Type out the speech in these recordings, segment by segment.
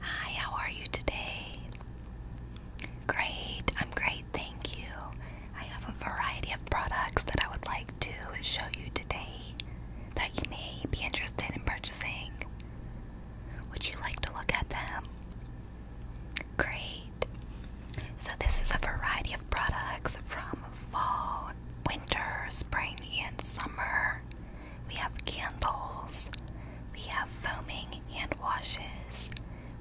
Hi, how are you today? Great, I'm great, thank you. I have a variety of products that I would like to show you today that you may be interested in purchasing. Would you like to look at them? Great. So, this is a variety of products from fall winter, spring, and summer. We have candles. We have foaming hand washes.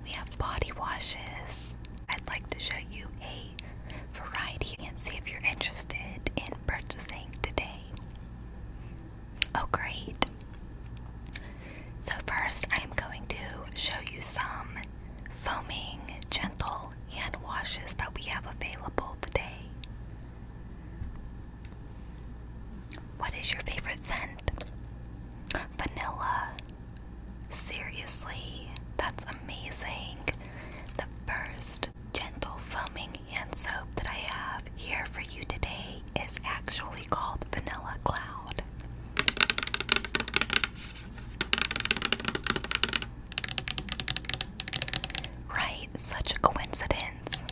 We have body washes. I'd like to show you a variety and see if you're interested in purchasing today. Oh, great. So, first, I'm going to show you some foaming, gentle hand washes that we have available today. What is your favorite scent? Vanilla. Seriously, that's amazing. The first gentle foaming hand soap that I have here for you today is actually called Vanilla Cloud. Right, such a coincidence.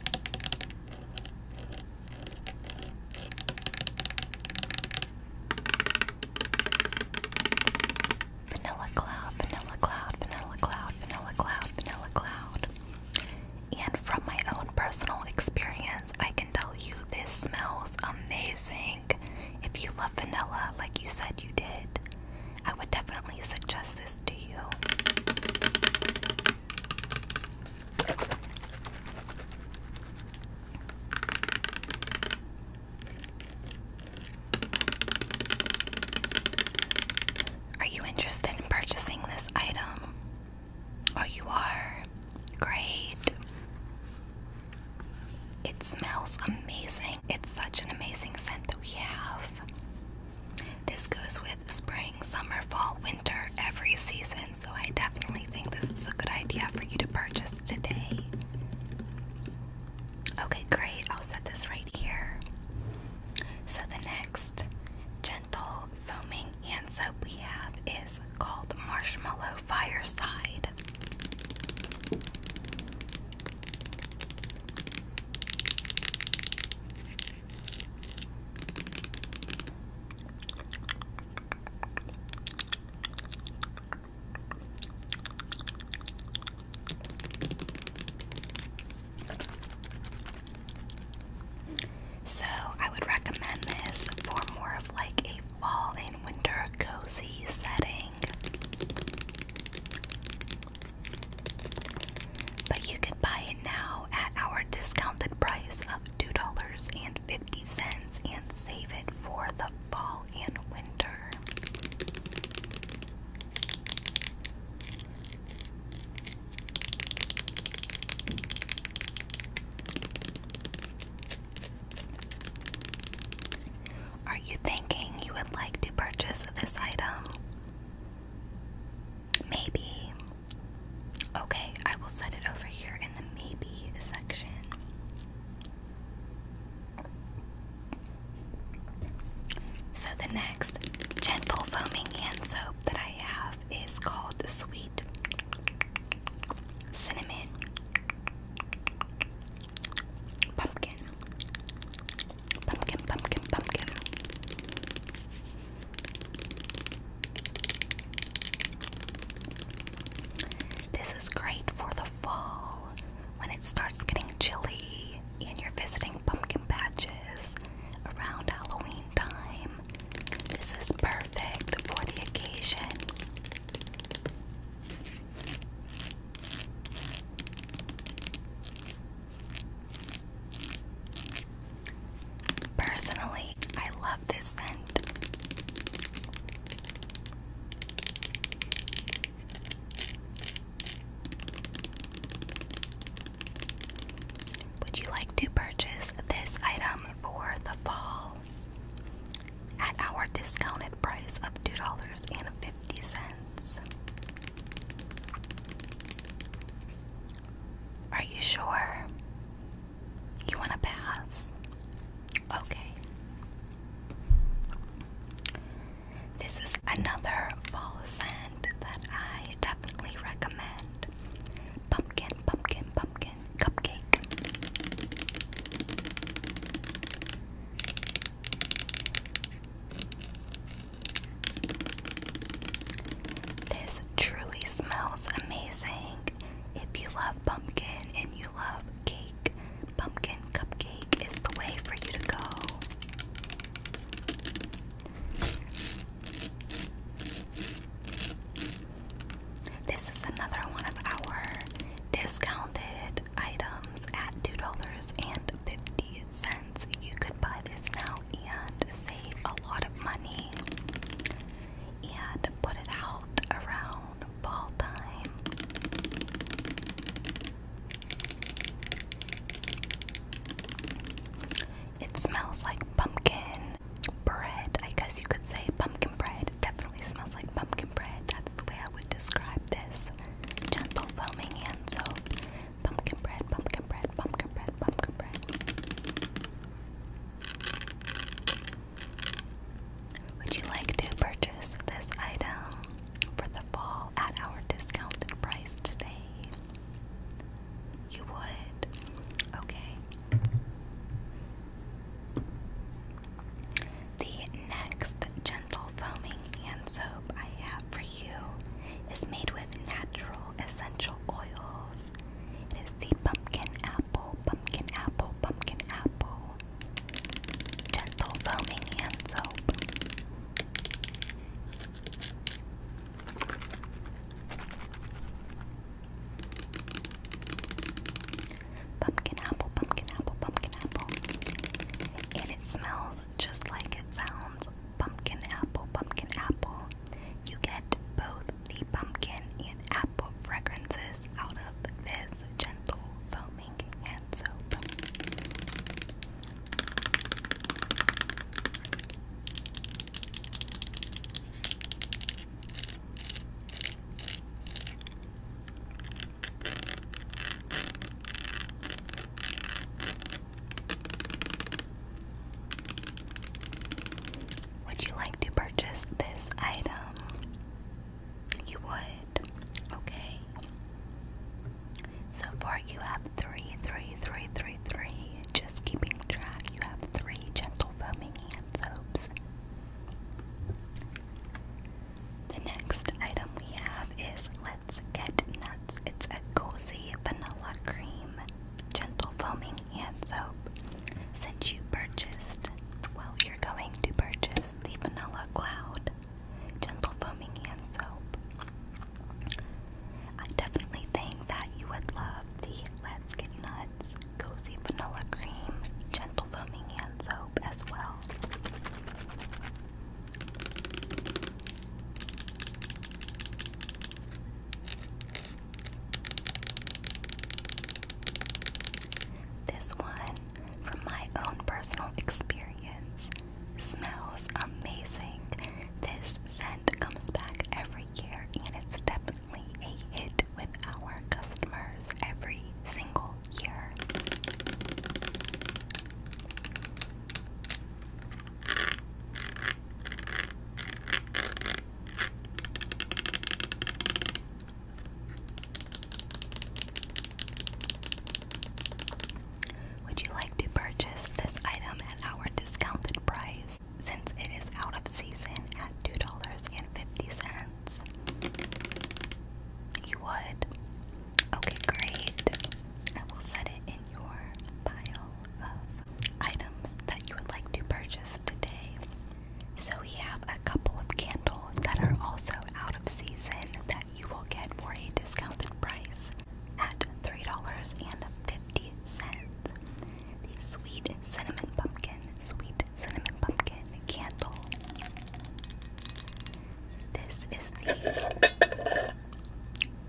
Vanilla cloud, vanilla cloud, vanilla cloud, vanilla cloud, vanilla cloud. And from my own personal experience, I can tell you this smells amazing. If you love vanilla, like you said you did, I would definitely suggest this to you. Are you interested in purchasing this item? Oh, you are. Great. It smells amazing. It's such an amazing scent that we have. This goes with spring, summer, fall, winter, every season. So I definitely think this is a good idea for you to purchase today. Okay, great. I'll set this right here. So the next gentle foaming hand soap we have is called Marshmallow Fireside. So, I would recommend this for more of like a fall and winter cozy setting. But you can buy it now at our discounted price of $2.50 and save it for the fall and winter. Are you thinking you would like to purchase this item? Maybe. Okay, I will set it over here in the maybe section. So, the next gentle foaming hand soap that I have is called Sweet Cinnamon Pumpkin. Pumpkin, pumpkin, pumpkin. This is great for the fall when it starts getting chilly and you're visiting pumpkin patches around Halloween time. This is perfect for the occasion. Personally, I love this scent. Would you like to purchase this item for the fall? at our discounted price of $2.50. Are you sure? You want to pass? Okay. This is another fall scent that I definitely recommend. Pumpkin, pumpkin, pumpkin, cupcake. This truly smells amazing. If you love pumpkin and you love cake, pumpkin cupcake is the way for you to go. This is another one of our discounted items at $2.50. You could buy this now and save a lot of money and put it out around fall time. It smells like pumpkin bread. I guess you could say pumpkin bread it definitely smells like pumpkin bread. That's the way I would describe this. Gentle foaming hand soap. Pumpkin bread, pumpkin bread, pumpkin bread, pumpkin bread. Would you like to purchase this item for the fall at our discounted price today? You would? Okay. The next gentle foaming hand soap I have for you is made with natural essential oils. It is the pumpkin apple, pumpkin apple, pumpkin apple gentle foaming hand soap. Pumpkin apple, pumpkin apple, pumpkin apple. And it smells just like it sounds. Pumpkin apple, pumpkin apple. You get both the pumpkin and apple fragrances out of this gentle foaming hand soap. Would you like to purchase this item? You would. Okay. So far, you have three, three, three, three, three. Just keeping track, you have three gentle foaming hand soaps. The next item we have is Let's Get Nuts. It's a cozy vanilla cream, gentle foaming hand soap. Since you purchased, well, you're going to purchase the Vanilla Cloud Gentle Foaming Hand Soap. I definitely think that you would love the Let's Get Nuts Cozy Vanilla Cream Gentle Foaming Hand Soap as well. This one, from my own personal experience, smells amazing. This scent comes back every year and it's definitely a hit with our customers every single year. Would you like to purchase this item at our discounted price since it is out of season at $2.50? You would? Okay, great. I will set it in your pile of items that you would like to purchase today. So, we have a couple of candles that are also out of season that you will get for a discounted price at $3.50. The sweet cinnamon pumpkin, sweet cinnamon pumpkin candle. This is the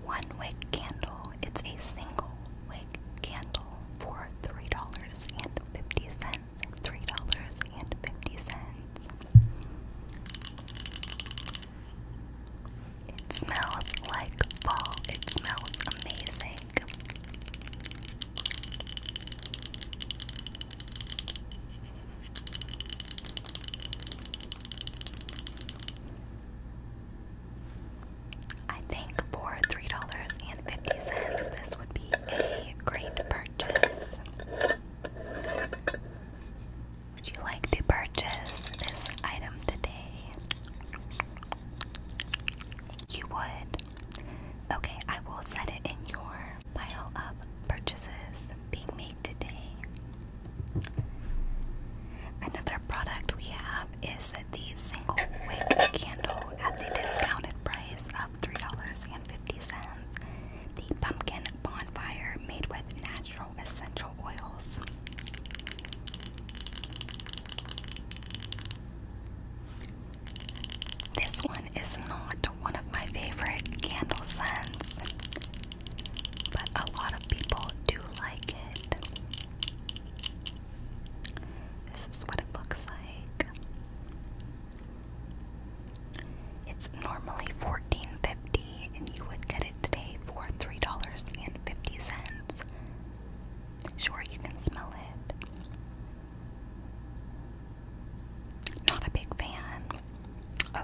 one wick candle. It's a single wick candle for three dollars and fifty cents. Three dollars and fifty cents. It smells like fall. It smells amazing. I think for $3.50 this would be a great purchase. Would you like to purchase this item today? You would. Okay, I will set it in your pile of purchases being made today. Another product we have is the single wick candle at the discounted price of $3.50. The pumpkin bonfire made with natural essential oils. This one is not one of my favorite candle scents, but a lot of people do like it. This is what it looks like. It's normally $14.50 and you would get it today for $3.50. Sure, you can smell it. Not a big fan.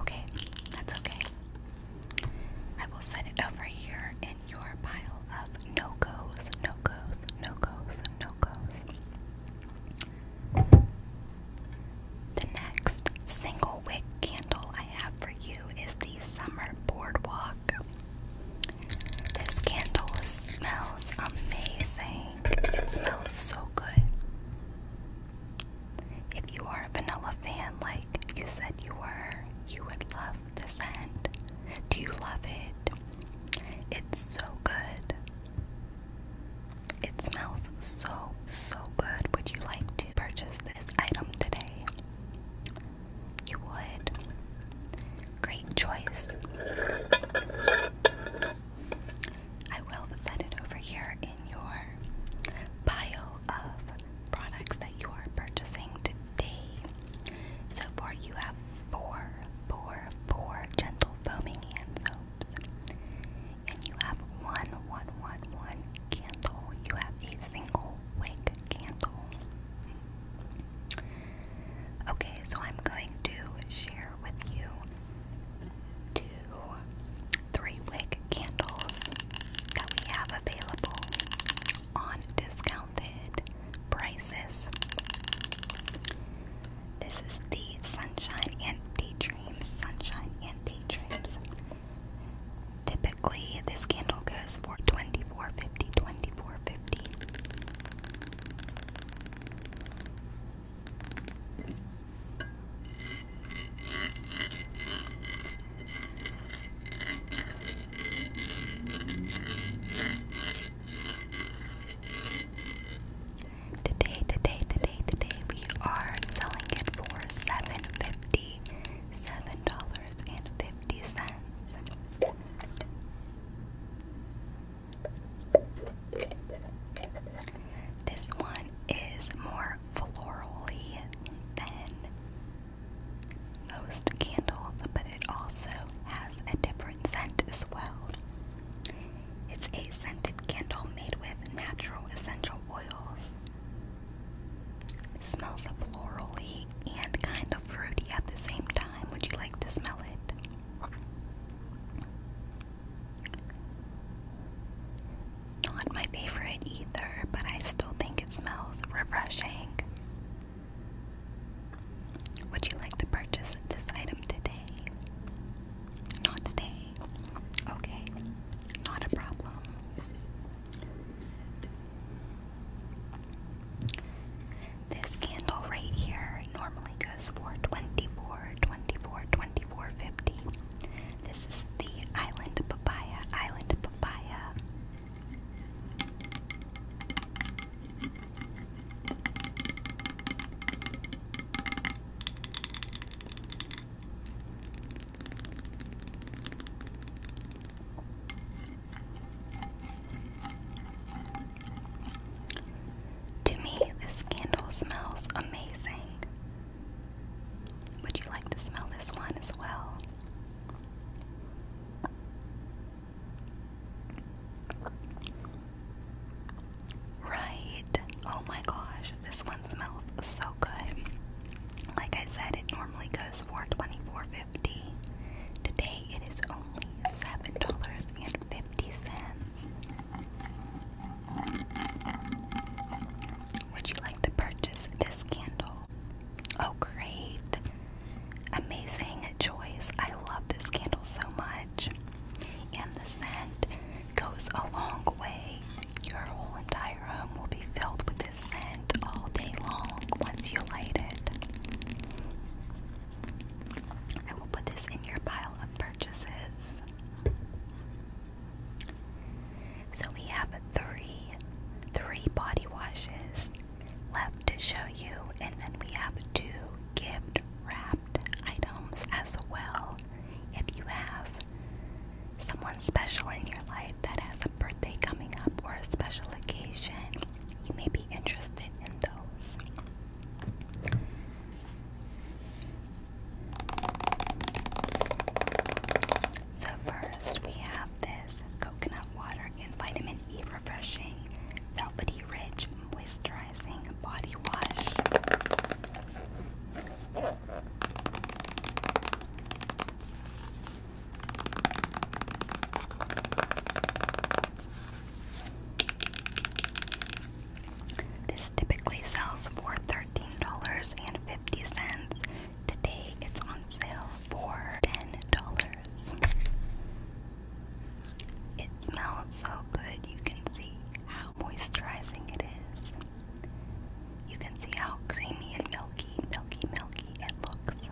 Okay, that's okay. I will set it over here in your pile of no goes, no goes, no goes, no goes. The next single wick candle I have for you is the Summer Boardwalk. This candle smells amazing. It smells so good. If you are a vanilla fan, like you said you were, you would love the scent. Do you love it? It's so good. It smells so, so good. Would you like to purchase this item today? You would. Great choice. I will set it over here in your pile of products that you are purchasing today. So far, you have four, four, four gentle foaming hand soaps, and you have one, one, one, one candle. You have a single wick candle. Okay, so I'm going to share with you two three wick candles that we have available on discounted prices. This is the Sunshine and Daydreams. Sunshine and Daydreams. Typically, this candle goes for 24 50 24 50 Today, today, today, today, we are selling it for seven fifty, seven dollars and fifty cents. This one is more florally than most candles, but it also has a different scent as well. It's a scented candle made with natural essential oils. It smells florally and kind of fruity at the same time. Would you like to smell it? Not my favorite either, but I still think it smells refreshing. Would you like to purchase this item today? Not today. Okay, not a problem. This candle right here normally goes for 24 $24, 24 50 This is the Island Papaya, Island Papaya. To me, this candle smells amazing. Would you like to smell this one as well? Right. Oh my gosh, this one smells so good. Like I said, it normally goes for 24 Today it is only seven dollars and fifty cents. Would you like to purchase this candle? Oh, great! Amazing choice. I love this candle so much. And the scent goes a long way. Your whole entire home will be filled with this scent all day long once you light it. I will put this in your pile of purchases. So we have three, three body washes left to show you, and then we have two gift wrapped items as well. If you have someone special in your life that has a birthday coming up or a special occasion, you may be interested in those. So, first we have this coconut water and vitamin E refreshing, velvety rich moisturizing body wash. This typically sells for $13.50. Today it's on sale for $10. It smells so good, you can see how moisturizing it is. You can see how creamy and milky, milky, milky it looks.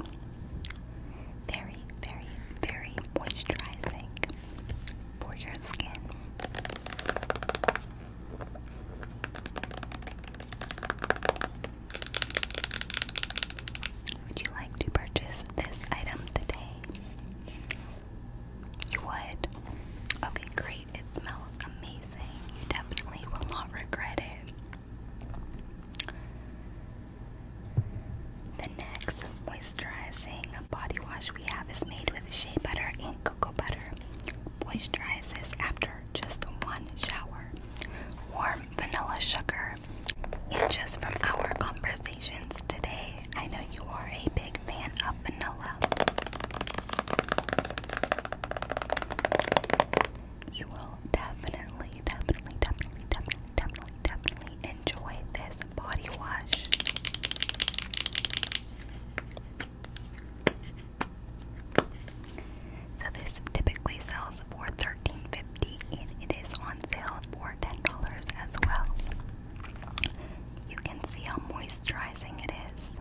Very, very, very moisturizing for your skin. Would you like to purchase this item today? You would? Okay, great. It smells amazing. You definitely will not regret it. The next moisturizing body wash we have is made with shea butter and cocoa butter. Moisturizes after just one shower. Warm vanilla sugar. just from our conversations today, I know you are a big fan of vanilla. You will will definitely, definitely, definitely, definitely, definitely, definitely enjoy this body wash. So this typically sells for $13.50 and it is on sale for $10 as well. You can see how moisturizing it is.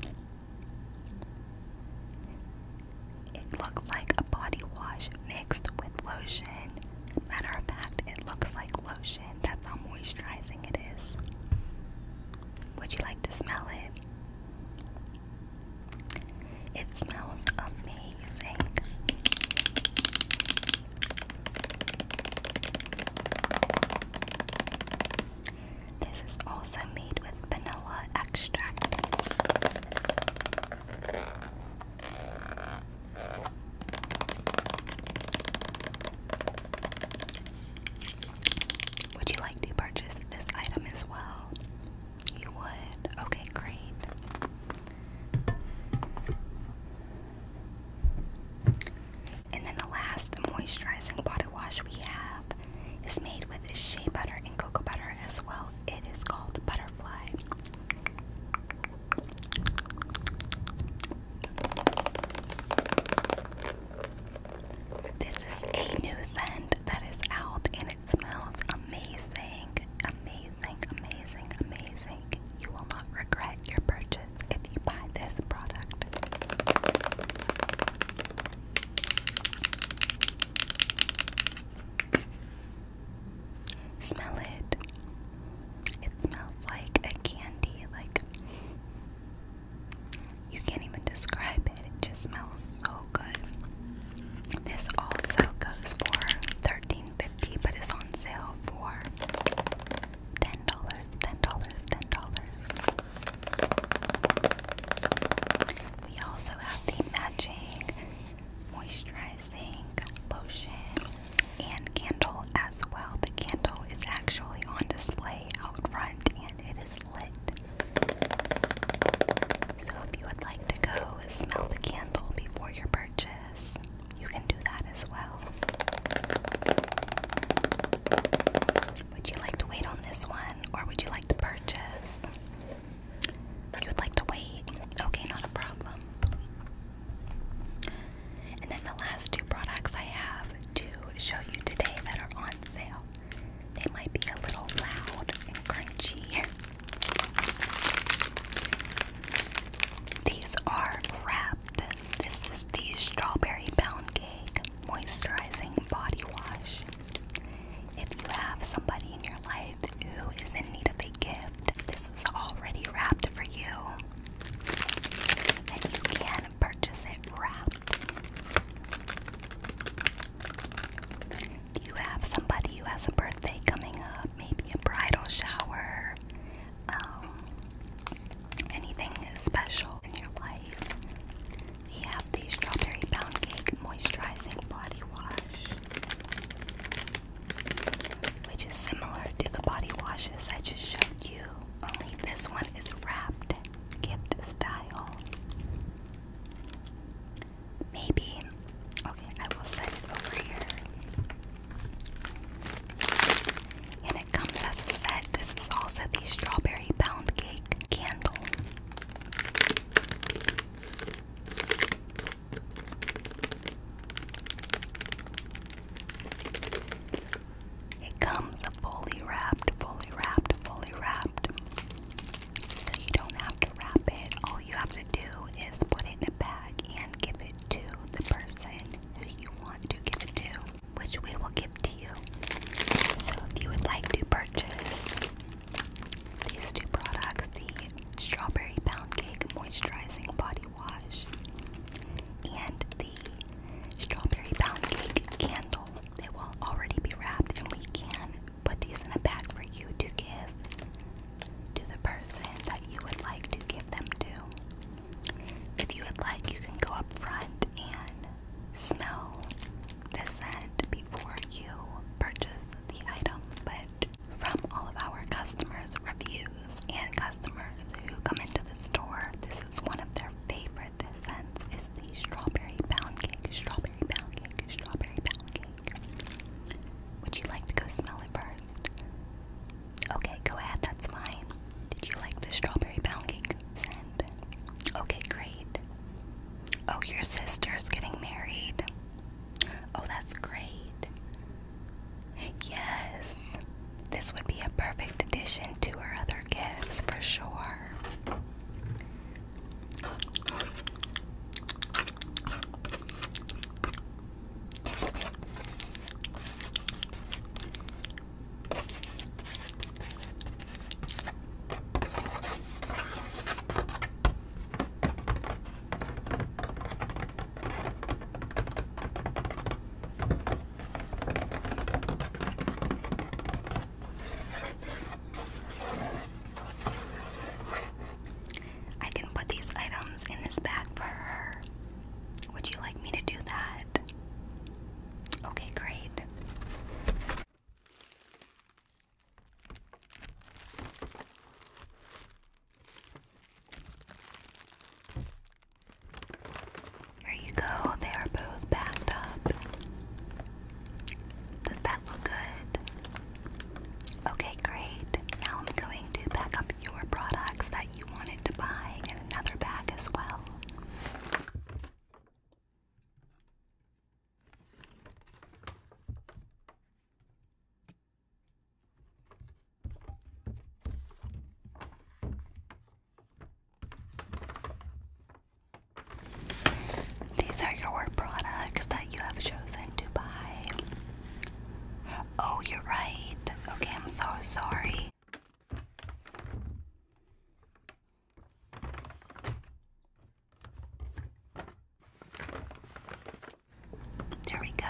It looks like a body wash mixed with lotion. Matter of fact, it looks like lotion. That's how moisturizing it is. Would you like to smell it? It smells amazing. This is also made with vanilla extract. Would you like to purchase this item as well? You would? Okay, great. And then the last moisturizing body wash we have is made with shea butter and cocoa butter as well it is called Butterfly. This is a new scent that is out and it smells amazing. Amazing, amazing, amazing. You will not regret your purchase if you buy this product. Smell it. It smells like a candy. Like you can't even describe it. It just smells so good. This also goes for thirteen fifty, but it's on sale for ten dollars. Ten dollars. Ten dollars. We also have the matching moisturizing lotion and candle as well. The candle is actually on display out front and it is lit. So if you would like to go smell the candle before your purchase, you can do that as well. Would you like to wait on this one or would you like to purchase? You would like to wait? Okay, not a problem. And then the last two products I have to show you today that are on sale. They might be a little loud and crunchy. These are wrapped. This is the Strawberry Pound Cake Moisturizing Body Wash. If you have somebody in your life who is in need of a gift, this is already wrapped for you. And you can purchase it wrapped. You have somebody who has a birthday coming up, maybe a bridal shower, um, anything special in your life. We have the Strawberry Pound Cake Moisturizing Body Wash, which is similar to the body washes I just showed you, only this one is wrapped gift style. Maybe, okay, I will set it over here. And it comes as a set. This is also the Strawberry Pound Cake candle. It comes fully wrapped, fully wrapped, fully wrapped. So you don't have to wrap it. All you have to do is put it in a bag and give it to the person who you want to give it to, which we will give to you. So if you would like to purchase these two products, the Strawberry Pound Cake Moisturizing Body Wash and the Strawberry Pound Cake Candle. They will already be wrapped and we can put these in a bag for you to give to the person that you would like to give them to. If you would like, you can go up front and smell this before you purchase the item, but from all of our customers' reviews and customers who come into the store, this is one of their favorite scents is the strawberry pound cake, strawberry pound cake, strawberry pound cake. Would you like to go smell it first? Okay, go ahead, that's fine. Did you like the strawberry pound cake scent? Okay, great. Oh, your sister's getting married. Oh, that's great. Yes, this would be a perfect addition to her other gifts for sure. I can put these items in this bag for her. Would you like me to do that? Okay, great. There you go, they are both packed up. Does that look good? Okay, great. Now I'm going to pack up your products that you wanted to buy in another bag as well. These are your products that you have chosen to buy. Oh, you're right. Okay, I'm so sorry. There we go.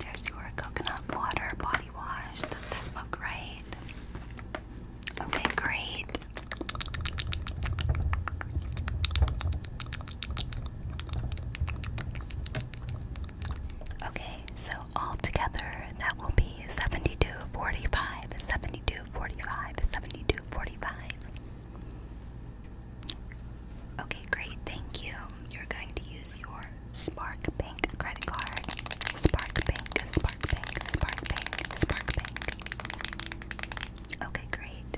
There's your coconut water body wash. Does that look right? Okay, great. Okay, so all together that will be 72.45. 72.45. 72 okay great thank you you're going to use your spark bank credit card spark bank spark bank spark bank spark bank okay great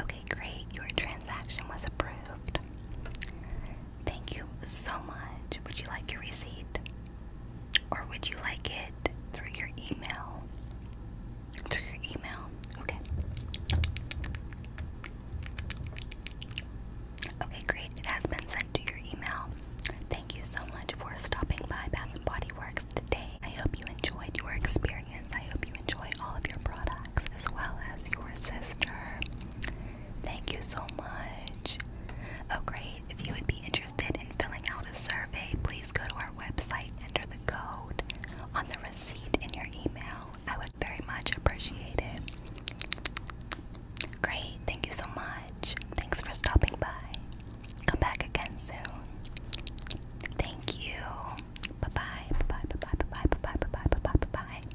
Okay, great. Your transaction was approved. Thank you so much. Would you like your receipt? Or would you like it through your email? Through your email? Okay. Okay, great. It has been sent to your email. Thank you so much for stopping by Bath & Body Works today. I hope you enjoyed your experience. I hope you enjoy all of your products as well as your sister. Thank you so much. Oh, great. If you would be interested in filling out a survey, please go to our website, enter the code on the receipt in your email. I would very much appreciate it. Great. Thank you so much. Thanks for stopping by. Come back again soon. Thank you. Bye bye. Bye bye. Bye bye. Bye bye. Bye bye. Bye bye. Bye bye.